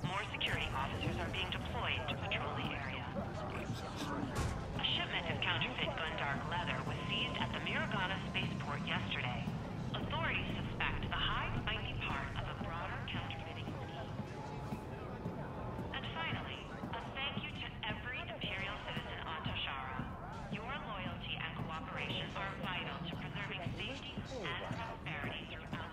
More security officers are being deployed to patrol the area. A shipment of counterfeit Gundark leather was seized at the Miragana spaceport yesterday. Authorities suspect the hive might be part of a broader counterfeiting scheme. And finally, a thank you to every Imperial citizen on Your loyalty and cooperation are vital to preserving safety and prosperity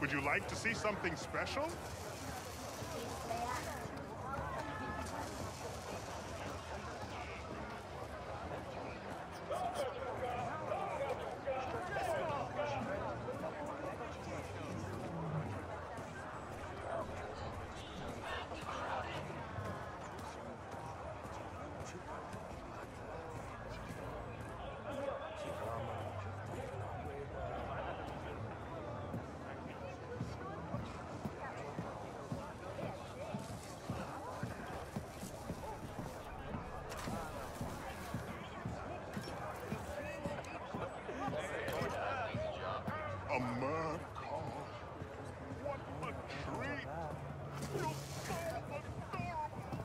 Would you like to see something special? What a treat! You're so adorable!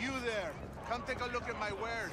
You there, come take a look at my wares.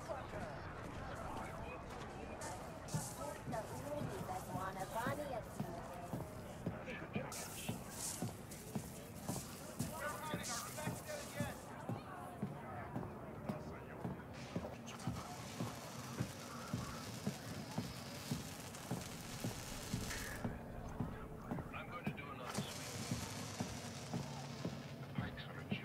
I'm going to do another sweep. Pike's on a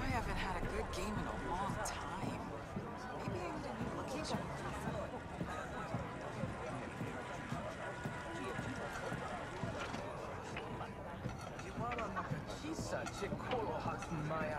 I haven't had a good game in a long time. Maybe I need a new location. Chikoro Hatsumaya.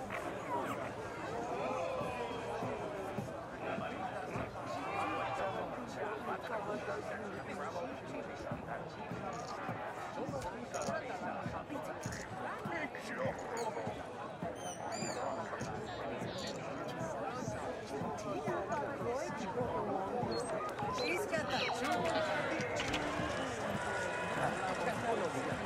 She's got that.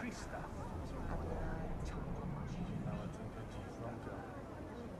Krista. Now it's in the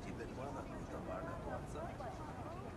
Şimdi bana da kurtarlarla tuatsa.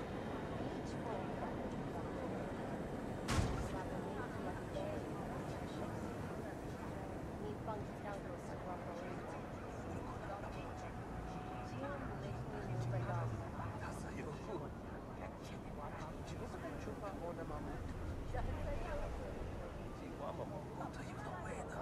Чего мама? Ну, да и в новые, да.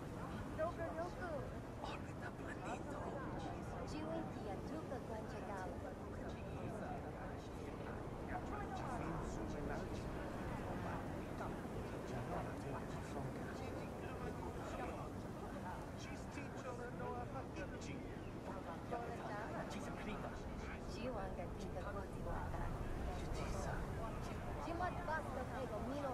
지원같은것보지못다주지사지맛봤어그리고미로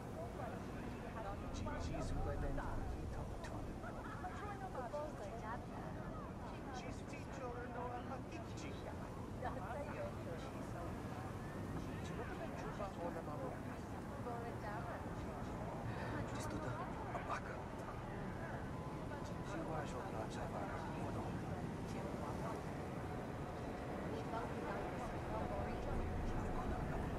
GG's who led that time. He talked to him. GG's teacher, no, I'm a teacher. Чисто да, а пак. Жива жопа, жива жопа. Thank you.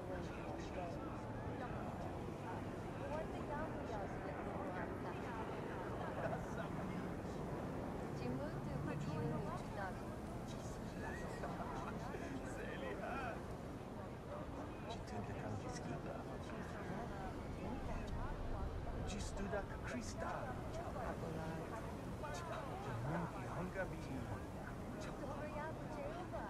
Krista. Jangan bilang gabi. Jangan bilang gabi.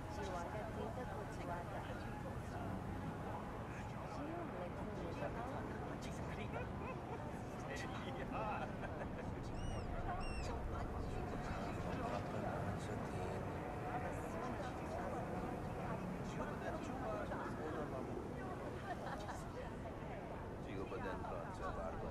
Juga badan berat, saya baru